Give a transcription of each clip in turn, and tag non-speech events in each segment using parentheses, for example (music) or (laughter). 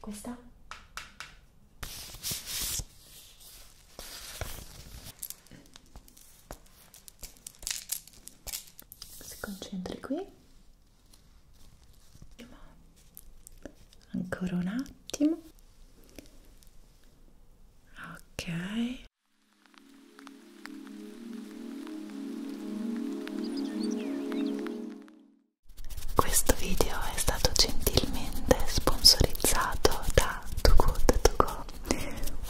Questa? Si concentri qui. Ancora un attimo. Ok. Questo video è stato gentilmente sponsorizzato da Too Good To Go,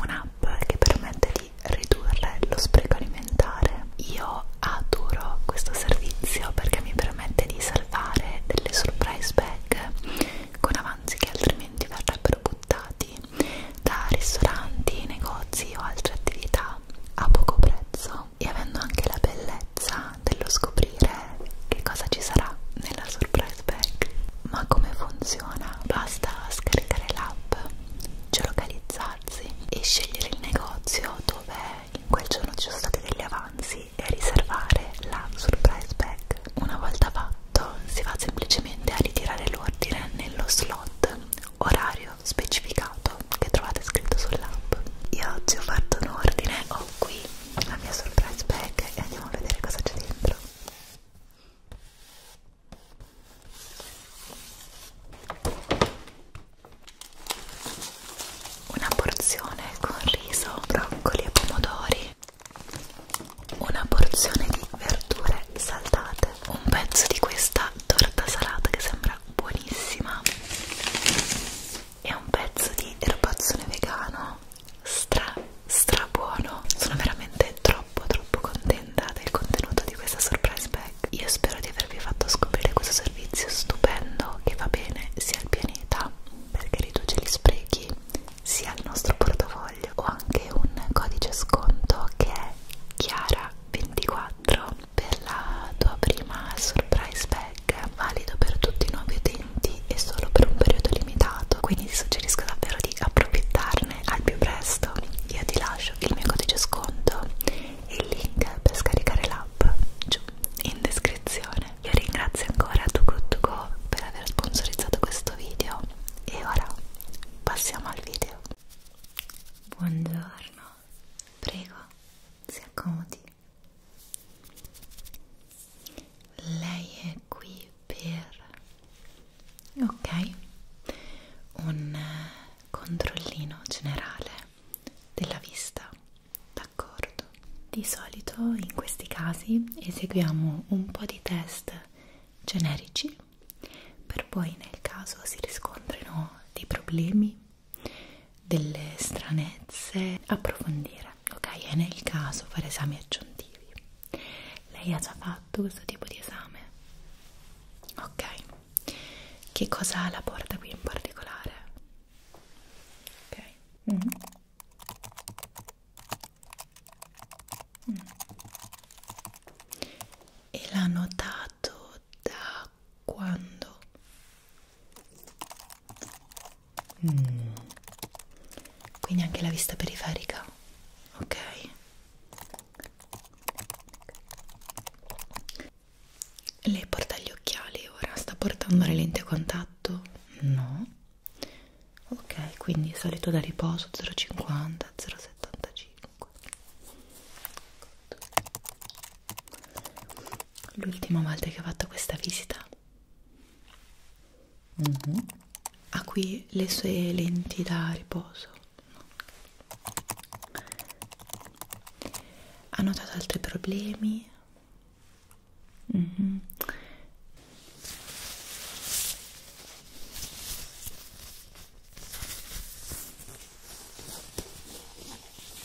un'app che permette di ridurre lo spreco alimentare. Io adoro questo servizio perché mi permette di salvare delle surprise bag con avanzi che altrimenti verrebbero buttati da ristoranti, negozi o altre attività a poco prezzo e avendo anche la bellezza bellezza dello scoprire che cosa ci sarà nella surprise bag. Ma come funziona? Basta scaricare l'app, geolocalizzarsi e scegliere il negozio dove in quel giorno ci sono stati degli avanzi e riservare la surprise bag. Una volta fatto si va semplicemente a ritirare l'ordine nello slot orario specificato cioccolato che trovate scritto sull'app io oggi ho fatto un ordine ho qui la mia surprise bag e andiamo a vedere cosa c'è dentro una porzione con riso, broccoli e pomodori una porzione di verdure saltate un pezzo di questa torta salata che sembra buonissima è un pezzo di erbazzone vegano stra stra buono sono veramente troppo troppo contenta del contenuto di questa surprise bag io spero di avervi fatto scoprire questo servizio stupendo che va bene sia al pianeta perché riduce gli sprechi sia al nostro portafoglio ho anche un codice sconto che è chiara 24 per la tua prima surprise bag valido per tutti i nuovi utenti e solo per un periodo limitato quindi ti suggerisco davvero di approfittarne al più presto io ti lascio il mio codice sconto e il link per scaricare l'app giù in descrizione io ringrazio ancora tu go per aver sponsorizzato questo video e ora passiamo al video buongiorno prego si accomodi lei è qui per ok un controllino generale della vista d'accordo di solito in questi casi eseguiamo un po di test generici per poi nel caso si riscontrino dei problemi delle stranezze, approfondire, ok? E nel caso fare esami aggiuntivi. Lei ha già fatto questo tipo di esame? Ok, che cosa ha la porta qui in particolare? Ok. Mm. Mm. E l'ha notato da quando? Mm. Quindi anche la vista periferica, ok? Lei porta gli occhiali ora, sta portando le lenti a contatto? No. Ok, quindi solito da riposo 0,50, 0,75 l'ultima volta che ho fatto questa visita mm -hmm. ha qui le sue lenti da riposo ha notato altri problemi mm -hmm.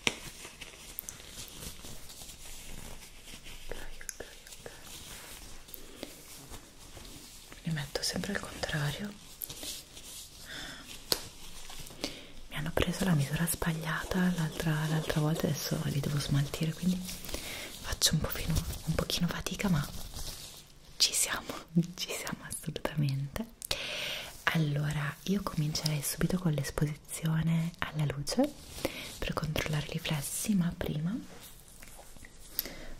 ok, ok. Li metto sempre al contrario. Mi hanno preso la misura sbagliata l'altra volta, adesso li devo smaltire, quindi faccio un, pochino, un pochino fatica, ma ci siamo, (laughs) ci siamo assolutamente. Allora, allora, io comincerei subito con l'esposizione alla luce per controllare i riflessi, ma prima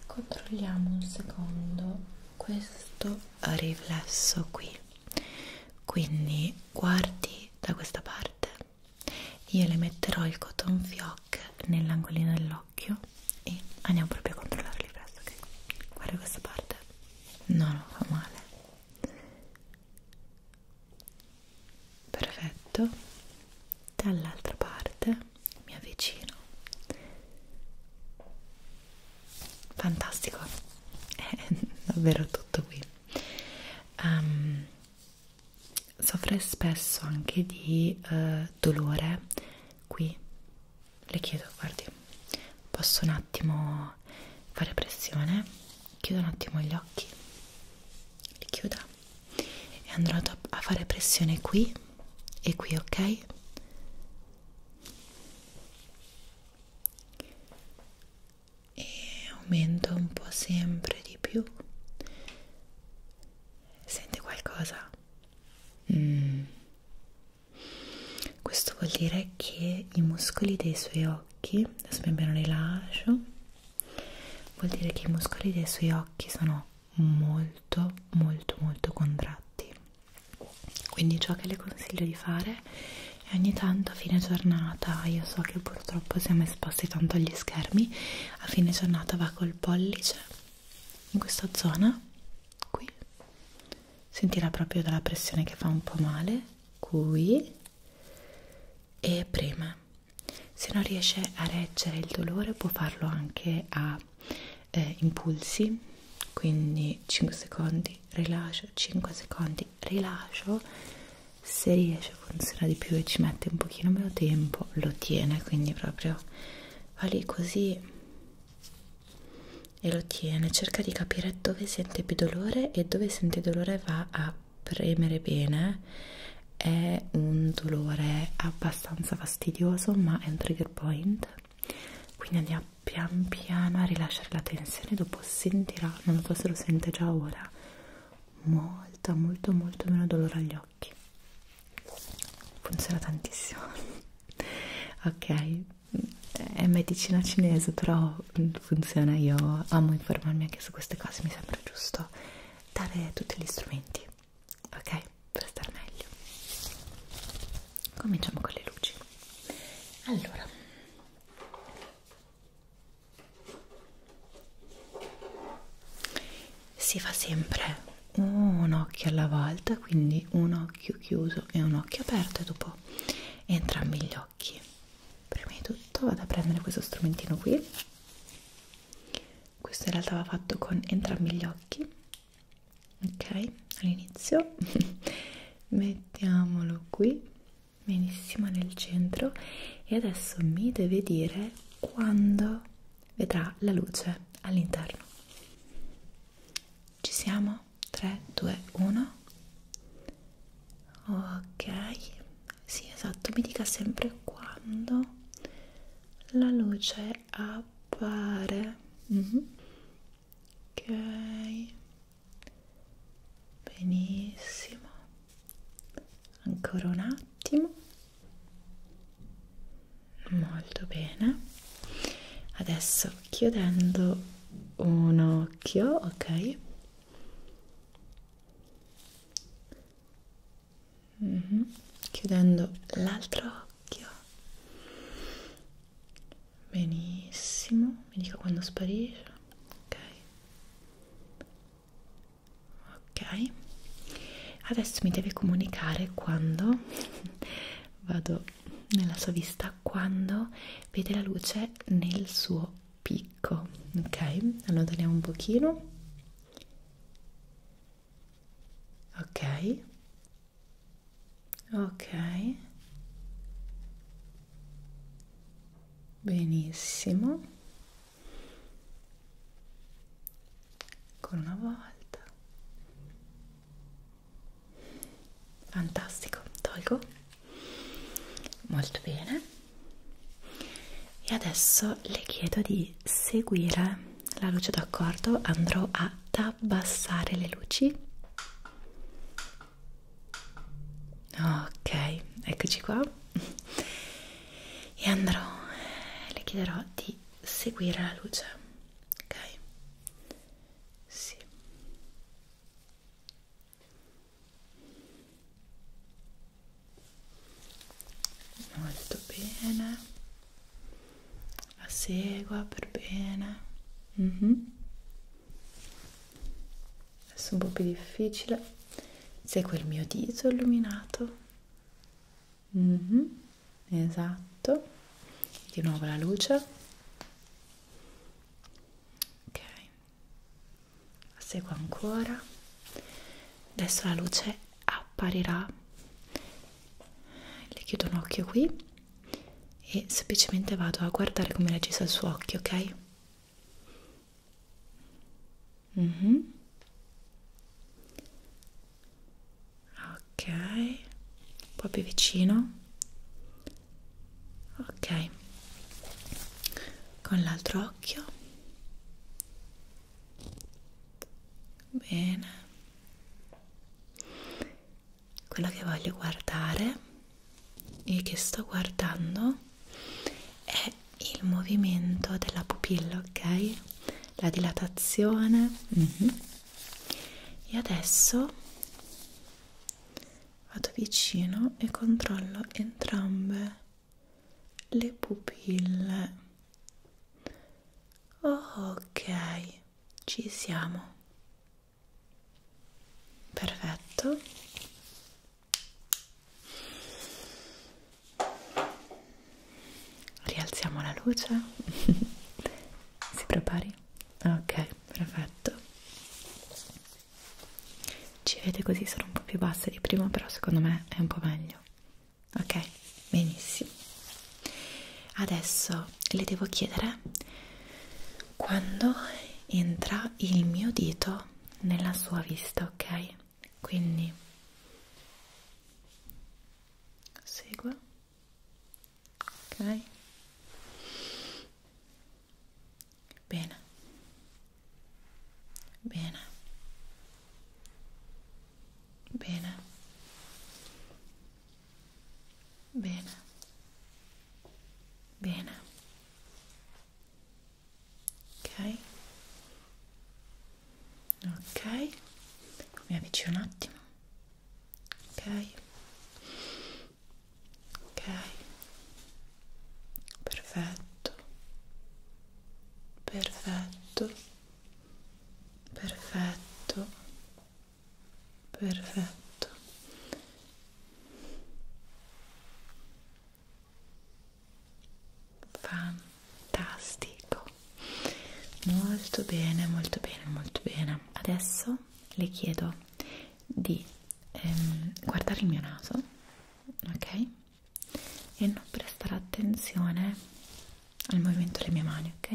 controlliamo un secondo questo riflesso qui. Quindi guardi da questa parte. Io le metterò il cotton fioc nell'angolino dell'occhio e andiamo proprio a controllare il riflesso. Okay? Guarda questa parte. No, non fa male perfetto dall'altra parte mi avvicino fantastico (laughs) è davvero tutto qui um, soffre spesso anche di uh, dolore qui le chiedo guardi posso un attimo fare pressione chiudo un attimo gli occhi li chiuda e andrò a fare pressione qui e qui ok e aumento un po' sempre di più senti qualcosa? Mm. Questo vuol dire che i muscoli dei suoi occhi, adesso pian piano rilascio, vuol dire che i muscoli dei suoi occhi sono molto molto molto contratti. Quindi ciò che le consiglio di fare è ogni tanto a fine giornata, io so che purtroppo siamo esposti tanto agli schermi, a fine giornata va col pollice in questa zona qui sentirà proprio dalla pressione che fa un po' male qui e preme. Se non riesce a reggere il dolore può farlo anche a eh, impulsi, quindi 5 secondi rilascio, 5 secondi rilascio. Se riesce funziona di più e ci mette un pochino meno tempo, lo tiene, quindi proprio va lì così e lo tiene, cerca di capire dove sente più dolore e dove sente dolore va a premere bene è un dolore abbastanza fastidioso ma è un trigger point quindi andiamo pian piano a rilasciare la tensione dopo sentirà, non so se lo sente già ora molto molto molto meno dolore agli occhi funziona tantissimo (laughs) ok è medicina cinese però funziona io amo informarmi anche su queste cose mi sembra giusto dare tutti gli strumenti ok per star meglio cominciamo con le luci allora si fa sempre un occhio alla volta quindi un occhio chiuso e un occhio aperto e dopo ho entrambi gli occhi prima di tutto vado a prendere questo strumentino qui questo in realtà va fatto con entrambi gli occhi ok all'inizio (laughs) mettiamolo qui benissimo nel centro e adesso mi deve dire quando vedrà la luce all'interno ci siamo 3, 2, 1 ok sì esatto mi dica sempre quando la luce appare mm -hmm. ok benissimo ancora un attimo molto bene adesso chiudendo un occhio, ok. Mm -hmm. Chiudendo l'altro occhio. Benissimo, mi dica quando sparisce. Ok. Ok. Adesso mi devi comunicare quando vado nella sua vista quando vede la luce nel suo picco ok allontaniamo un pochino ok ok benissimo ancora una volta fantastico, tolgo molto bene e adesso le chiedo di seguire la luce d'accordo andrò ad abbassare le luci ok eccoci qua e andrò le chiederò di seguire la luce ok sì molto bene la segua per bene mm -hmm. adesso un po' più difficile segue il mio dito illuminato mm -hmm. esatto di nuovo la luce ok la seguo ancora adesso la luce apparirà le chiudo un occhio qui e semplicemente vado a guardare come reagisce il suo occhio ok mm -hmm. ok un po' più vicino ok con l'altro occhio bene quello che voglio guardare e che sto guardando è il movimento della pupilla ok la dilatazione mm -hmm. e adesso vado vicino e controllo entrambe le pupille ok ci siamo perfetto rialziamo la luce (laughs) si prepari ok perfetto ci vede così sono un po' più basse di prima però secondo me è un po' meglio ok benissimo adesso le devo chiedere quando entra il mio dito nella sua vista ok quindi segua ok bene bene bene bene bene ok ok mi avvicino un attimo ok ok perfetto perfetto perfetto perfetto fantastico molto bene molto bene molto bene adesso le chiedo di ehm, guardare il mio naso, ok? E non prestare attenzione al movimento delle mie mani, ok?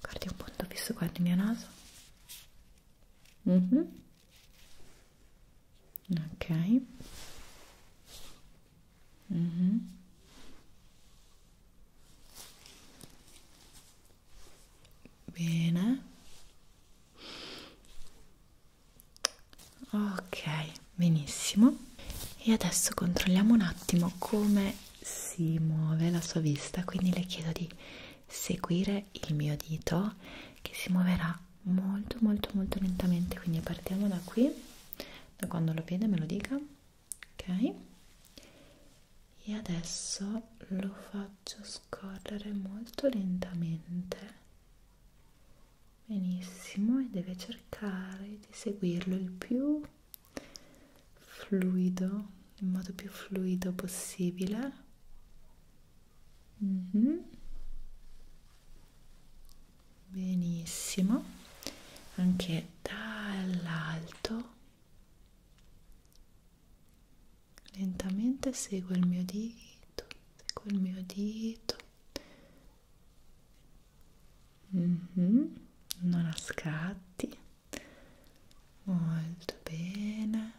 Guardi un punto fisso, guardi il mio naso. Mm -hmm. Ok. Mm -hmm bene ok benissimo e adesso controlliamo un attimo come si muove la sua vista quindi le chiedo di seguire il mio dito che si muoverà molto molto molto lentamente quindi partiamo da qui da quando lo vede me lo dica ok e adesso lo faccio scorrere molto lentamente benissimo e deve cercare di seguirlo il più fluido in modo più fluido possibile mm -hmm. benissimo anche dall'alto lentamente seguo il mio dito seguo il mio dito mm -hmm. non a scatti molto bene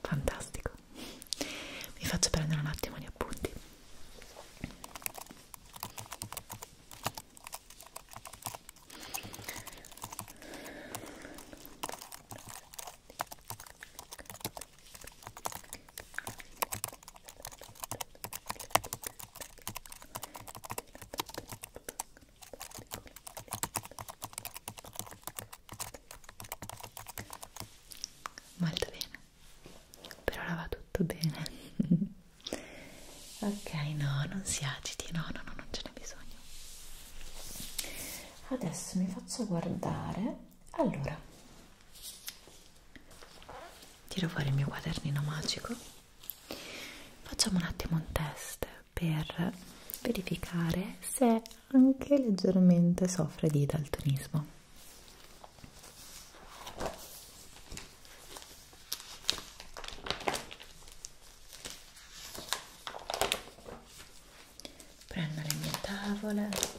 fantastico vi faccio prendere un attimo gli appunti Molto bene, per ora va tutto bene. (laughs) ok no non si agiti no no no non ce n'è bisogno adesso mi faccio guardare allora tiro fuori il mio quadernino magico facciamo un attimo un test per verificare se anche leggermente soffre di daltonismo prendo le mie tavole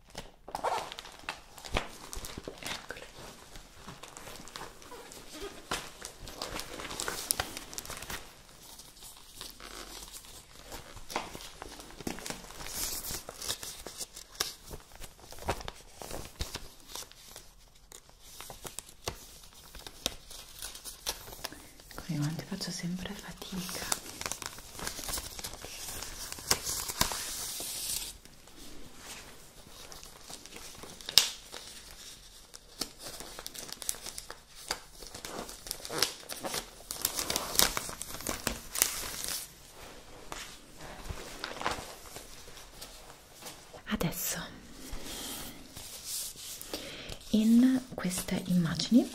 Eccole. Come quanti faccio sempre fatica Adesso in queste immagini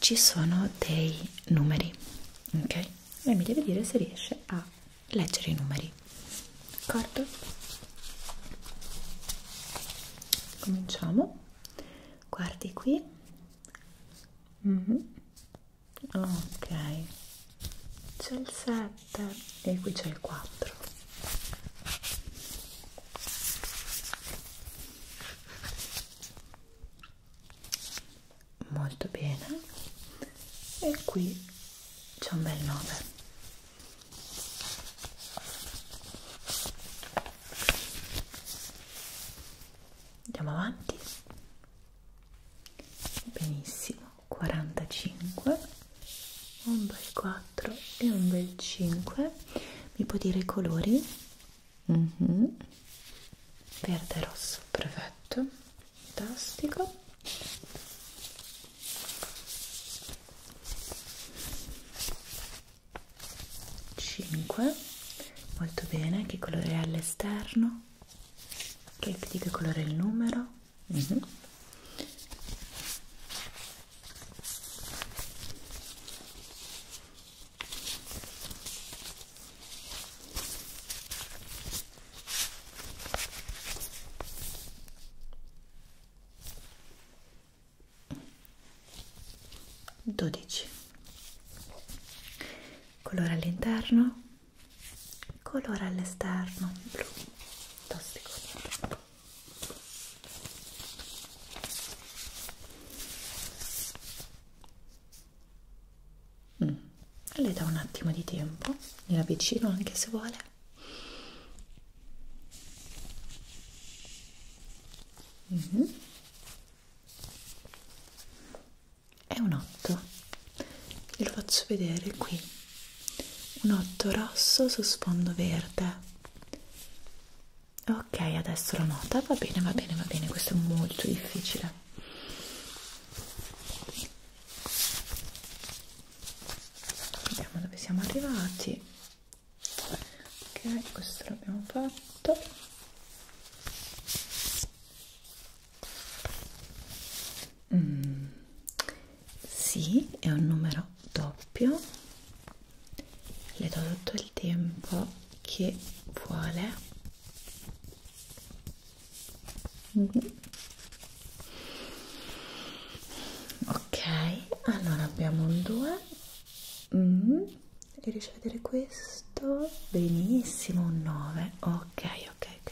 ci sono dei numeri, ok? lei mi deve dire se riesce a leggere i numeri d'accordo? cominciamo guardi qui mm -hmm. ok c'è il 7 e qui c'è il 4 molto bene e qui c'è un bel 9 andiamo avanti benissimo 45 un bel 4 e un bel 5 mi può dire i colori Mm -hmm. Verde rosso, perfetto, fantastico. Cinque, molto bene. Che colore è all'esterno? Che, di che colore è il numero? Mm -hmm. 12 colore all'interno colore all'esterno blu tossico Mm. Le do un attimo di tempo, gliela avvicino anche se vuole. Mm -hmm. È un 8, glielo faccio vedere qui. Un 8 rosso su sfondo verde. Ok, adesso la nota va bene, va bene, va bene, questo è molto difficile vediamo dove siamo arrivati ok questo l'abbiamo fatto mm, sì è un numero doppio le do tutto il tempo che vuole Mm -hmm. Ok, allora abbiamo un 2. Mm -hmm. Riesci a vedere questo? Benissimo, un 9. Ok, ok, ok.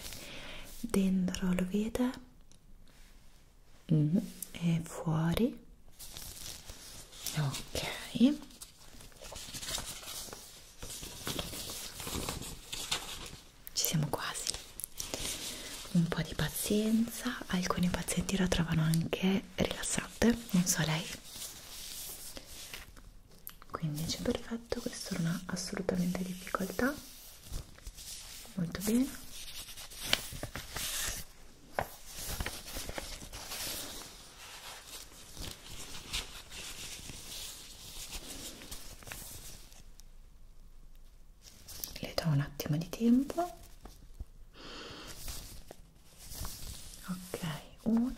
Dentro lo vede? Mm -hmm. E fuori? Ok. Ci siamo quasi. Un po' di pazienza, alcuni pazienti la trovano anche rilassante, non so lei. 15 perfetto, questo non ha assolutamente difficoltà. Molto bene le do un attimo di tempo ok uno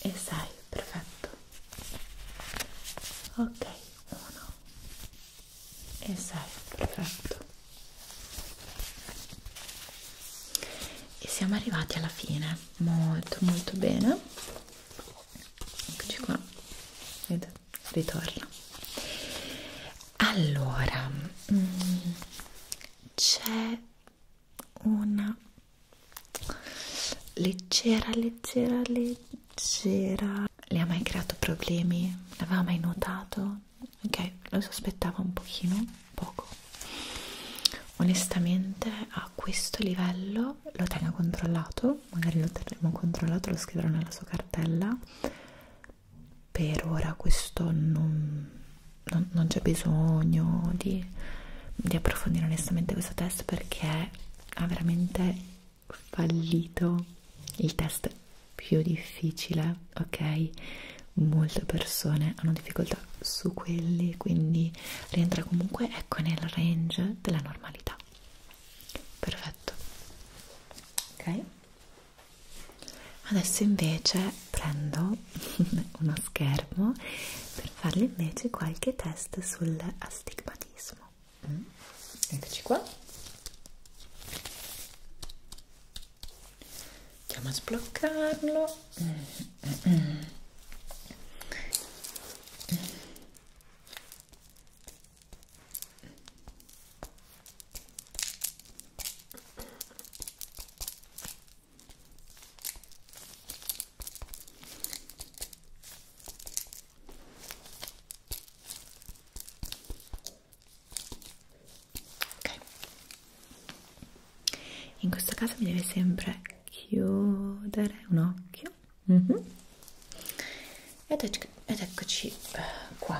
e sei perfetto ok uno e sei perfetto e siamo arrivati alla fine molto molto bene eccoci qua Vedete? ritorna allora mm, c'è una leggera leggera leggera le ha mai creato problemi? l'aveva mai notato? ok lo sospettava un pochino poco onestamente a questo livello lo tenga controllato magari lo terremo controllato lo scriverò nella sua cartella per ora questo non, non, non c'è bisogno di, di approfondire onestamente questo test perché ha veramente fallito il test più difficile ok molte persone hanno difficoltà su quelli, quindi rientra comunque ecco nel range della normalità. Perfetto. Ok. Adesso invece prendo (laughs) uno schermo per farle invece qualche test sull'astigmatismo. Mm. Eccoci qua andiamo a sbloccarlo ok in questo caso mi deve sempre chiudere un occhio mm -hmm. ed, ec ed eccoci eh, qua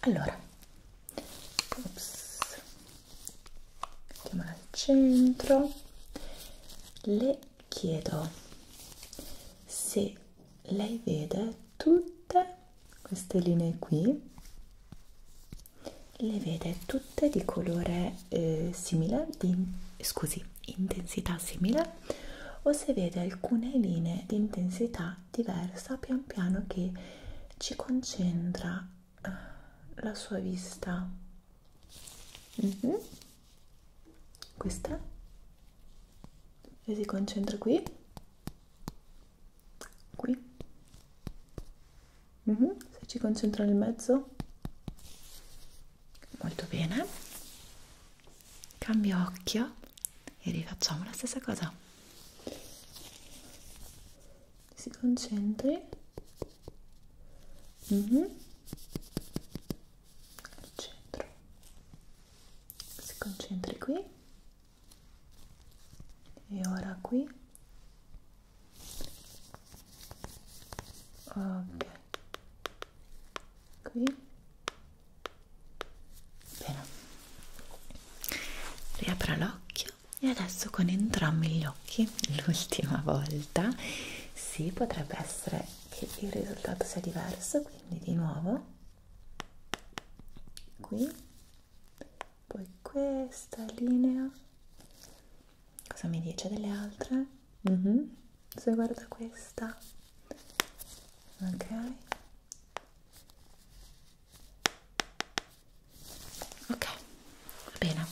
allora ops. mettiamola al centro le chiedo se lei vede tutte queste linee qui le vede tutte di colore eh, simile, di, scusi, intensità simile o se vede alcune linee di intensità diversa pian piano che ci concentra eh, la sua vista. Mm -hmm. Questa? E si concentra qui? Qui? Mm -hmm. Se ci concentra nel mezzo, molto bene. Cambio occhio e rifacciamo la stessa cosa. Si concentri. Mm -hmm. Al centro. Si concentri qui. E ora qui ok qui bene riapra l'occhio e adesso con entrambi gli occhi (laughs) l'ultima volta sì potrebbe essere che il risultato sia diverso quindi di nuovo qui poi questa linea cosa mi dice delle altre? Mm -hmm. se guarda questa ok ok va bene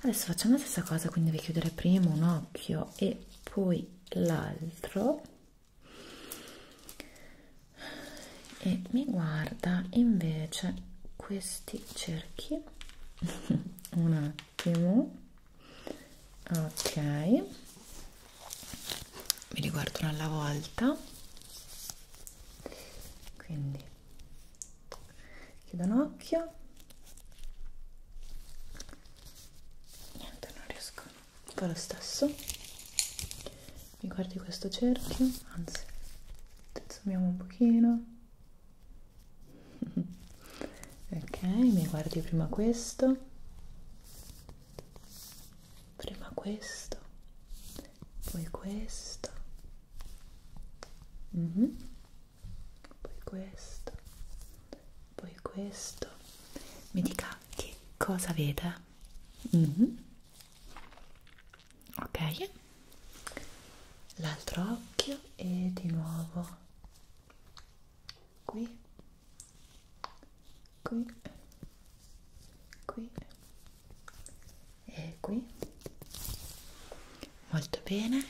adesso facciamo la stessa cosa quindi devi chiudere prima un occhio e poi l'altro e mi guarda invece questi cerchi (laughs) un attimo ok mi li guardo una alla volta quindi chiudo un occhio niente non riesco fa lo stesso mi guardi questo cerchio, anzi, tezzumiamo un pochino. (laughs) ok, mi guardi prima questo, prima questo, poi questo, mm -hmm. poi questo, poi questo. Mi dica che cosa vede. Mm -hmm ok l'altro occhio e di nuovo qui qui qui e qui molto bene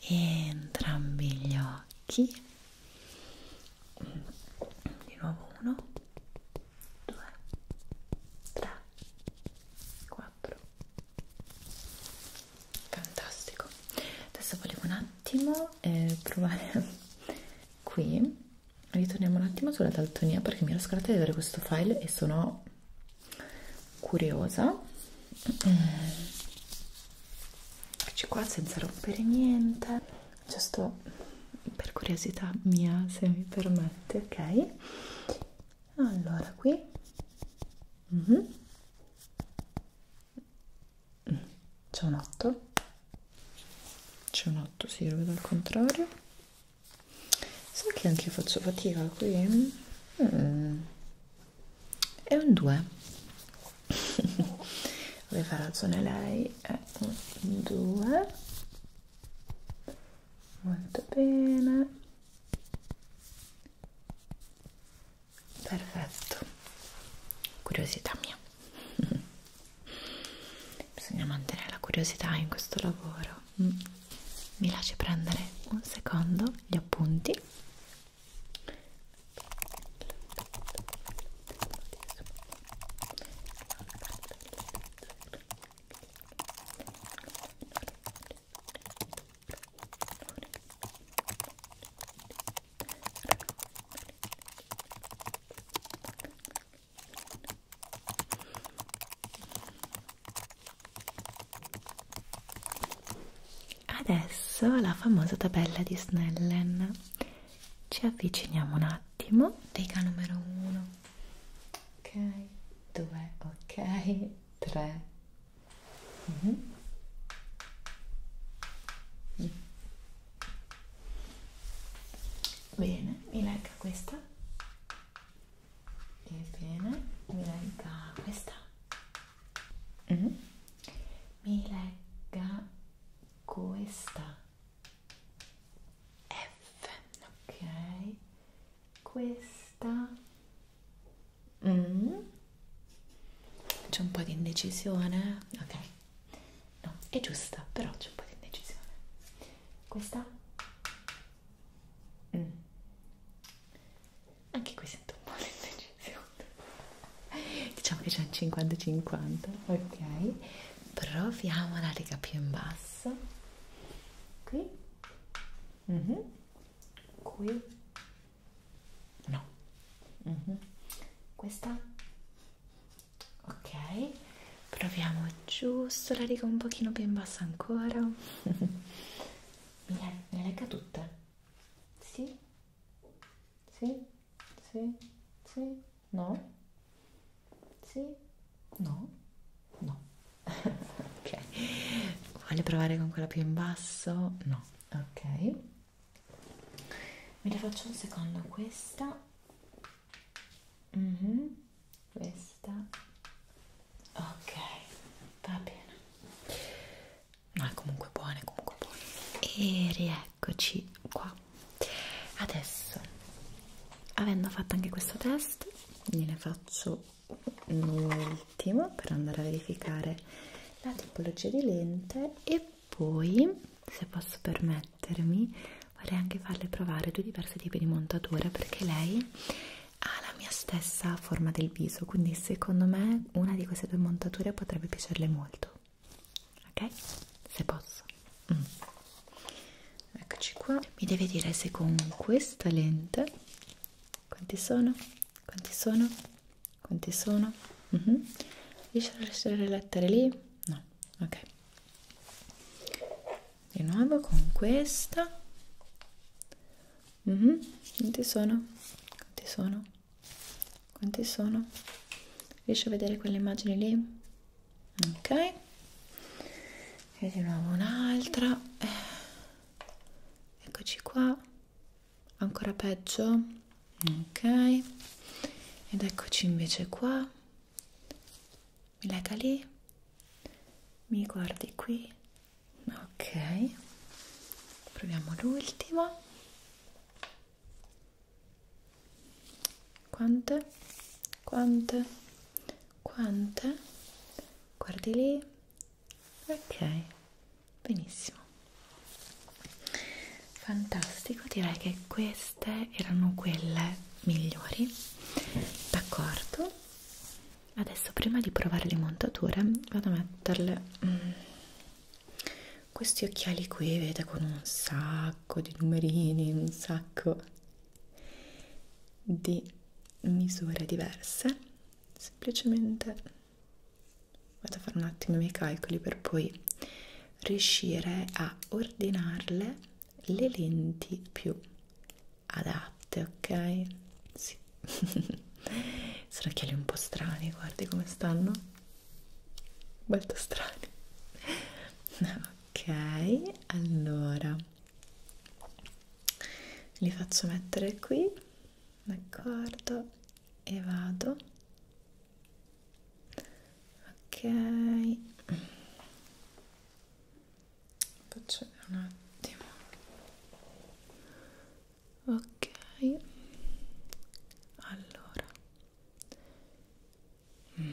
entrambi gli occhi di nuovo uno 2 3 4 fantastico adesso volevo un attimo eh, provare (laughs) qui ritorniamo un attimo sulla daltonia perché mi ero scordata di vedere questo file e sono curiosa mm. eccoci qua senza rompere niente giusto per curiosità mia se mi permette ok allora qui mm -hmm. c'è un 8 c'è un 8 si sì, lo vedo al contrario sai che anche io faccio fatica qui mm. è un 2 (laughs) aveva ragione lei è un 2 molto bene perfetto curiosità mia (laughs) bisogna mantenere la curiosità in questo lavoro mm. mi lasci prendere un secondo gli appunti Adesso la famosa tabella di Snellen. Ci avviciniamo un attimo. Riga numero 1, ok, due, ok, tre mm -hmm. mm. bene, mi legga questa e bene, mi legga questa mm -hmm. mi legga questa F, ok questa mm. c'è un po' di indecisione ok no è giusta però c'è un po' di indecisione questa mm. anche qui sento un po' di indecisione diciamo che c'è un 50 50 ok proviamo la riga più in basso relax qui mm -hmm. qui no mm -hmm. questa ok proviamo giusto la riga un pochino più in basso ancora (laughs) me le legga tutte sì sì sì sì no sì? No? No. (laughs) ok. Voglio provare con quella più in basso? No. Ok. Me la faccio un secondo questa. Mm -hmm. Questa. Ok. Va bene. No, è comunque buona, è comunque buona. E rieccoci qua. Adesso, avendo fatto anche questo test, gliene faccio un'ultima per andare a verificare la tipologia di lente e poi se posso permettermi vorrei anche farle provare due diversi tipi di montatura perché lei ha la mia stessa forma del viso quindi secondo me una di queste due montature potrebbe piacerle molto ok se posso mm eccoci qua mi deve dire se con questa lente quanti sono quanti sono quanti sono uh mhm. -huh. riesci a lasciare le lettere lì no ok di nuovo con questa uh mhm. -huh. quanti sono quanti sono quanti sono riesci a vedere quelle immagini lì ok e di nuovo un'altra eccoci qua ancora peggio ok ed eccoci invece qua mi lega lì mi guardi qui ok proviamo l'ultima quante quante quante? guardi lì ok benissimo fantastico direi che queste erano quelle migliori d'accordo adesso prima di provare le montature vado a metterle mm, questi occhiali qui vedete con un sacco di numerini un sacco di misure diverse semplicemente vado a fare un attimo i miei calcoli per poi riuscire a ordinarle le lenti più adatte ok sì (laughs) sono occhiali un po' strani guardi come stanno molto strani (laughs) ok allora li faccio mettere qui d'accordo e vado ok faccio un attimo ok allora mm.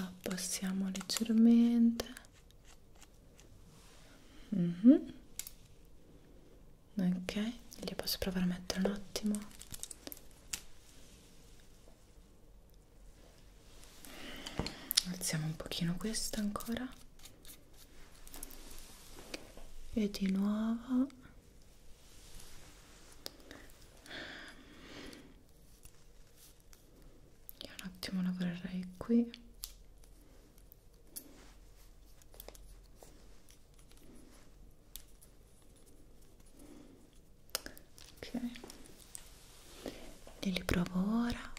abbassiamo ah, leggermente mm -hmm. ok li posso provare a mettere un attimo alziamo un pochino questa ancora e di nuovo io un attimo lavorerei qui ok e li provo ora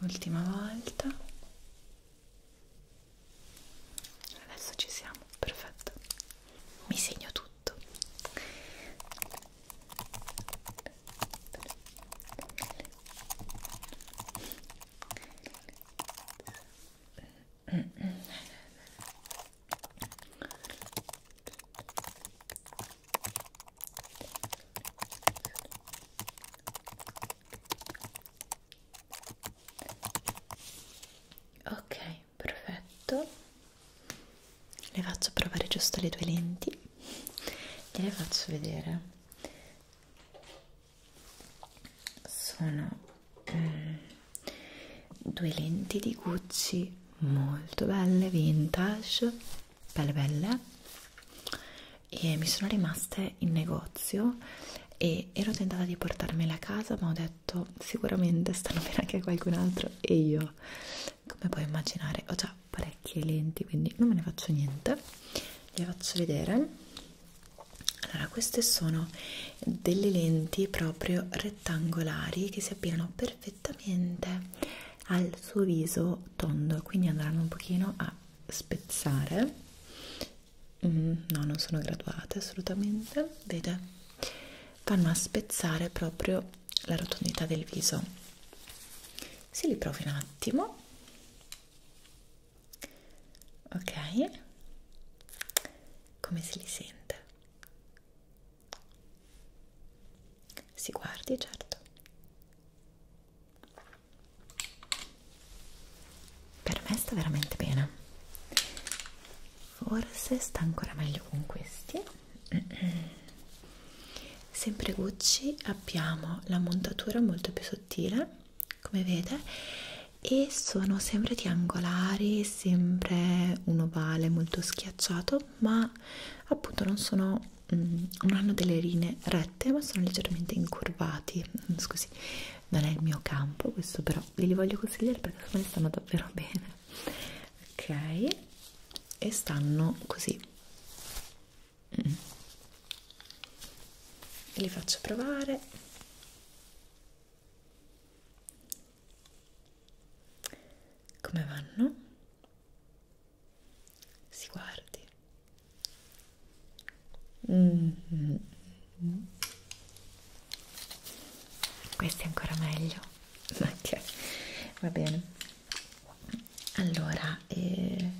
Ultima volta Adesso ci siamo, perfetto. Mi segno tutto ok perfetto le faccio provare giusto le due lenti e le faccio vedere sono um, due lenti di Gucci molto belle vintage belle belle e mi sono rimaste in negozio e ero tentata di portarmela a casa ma ho detto sicuramente stanno bene anche qualcun altro e io come puoi immaginare ho già parecchie lenti quindi non me ne faccio niente le faccio vedere allora queste sono delle lenti proprio rettangolari che si abbinano perfettamente al suo viso tondo quindi andranno un pochino a spezzare mm, no non sono graduate assolutamente vede vanno a spezzare proprio la rotondità del viso si li provi un attimo ok come se li sente si guardi certo per me sta veramente bene forse sta ancora meglio con questi sempre Gucci abbiamo la montatura molto più sottile come vede e sono sempre triangolari sempre un ovale molto schiacciato ma appunto non sono mm, non hanno delle linee rette ma sono leggermente incurvati argomenti, scusi, non è il mio campo questo però ve li voglio consigliare perché secondo me stanno davvero (laughs) bene ok e stanno così mm. li faccio provare come vanno? si guardi Mm -hmm. Questo è ancora meglio. Okay. Va bene. Allora, eh,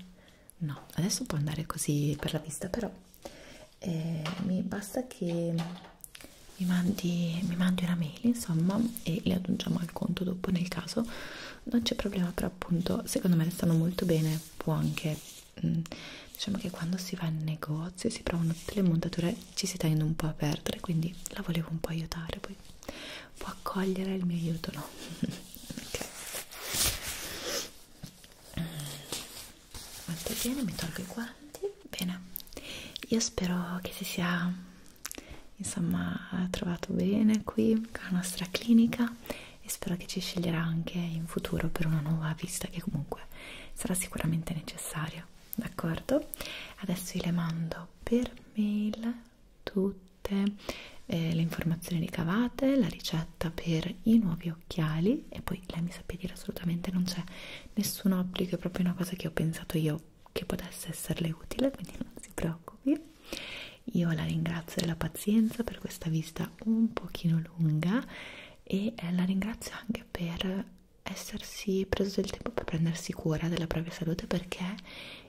no, adesso può andare così per la vista, però eh, mi basta che mi mandi, mi mandi una mail, insomma, e le aggiungiamo al conto dopo nel caso. Non c'è problema, però appunto, secondo me le stanno molto bene può anche mh, mm, diciamo che quando si va in negozio si provano tutte le montature ci si tende un po' a perdere quindi la volevo un po' aiutare poi può accogliere il mio aiuto no (laughs) ok mm. molto bene mi tolgo i guanti bene io spero che si sia insomma trovato bene qui con la nostra clinica e spero che ci sceglierà anche in futuro per una nuova visita che comunque sarà sicuramente necessaria d'accordo? adesso io le mando per mail tutte eh, le informazioni ricavate la ricetta per i nuovi occhiali e poi lei mi sappia dire assolutamente non c'è nessun obbligo è proprio una cosa che ho pensato io che potesse esserle utile quindi non si preoccupi io la ringrazio della pazienza per questa vista un pochino lunga e eh, la ringrazio anche per essersi preso del tempo per prendersi cura della propria salute perché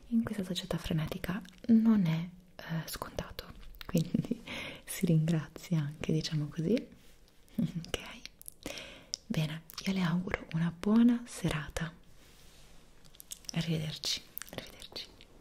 in questa società frenetica non è eh, scontato (laughs) quindi si ringrazia anche diciamo così (laughs) ok bene io le auguro una buona serata arrivederci arrivederci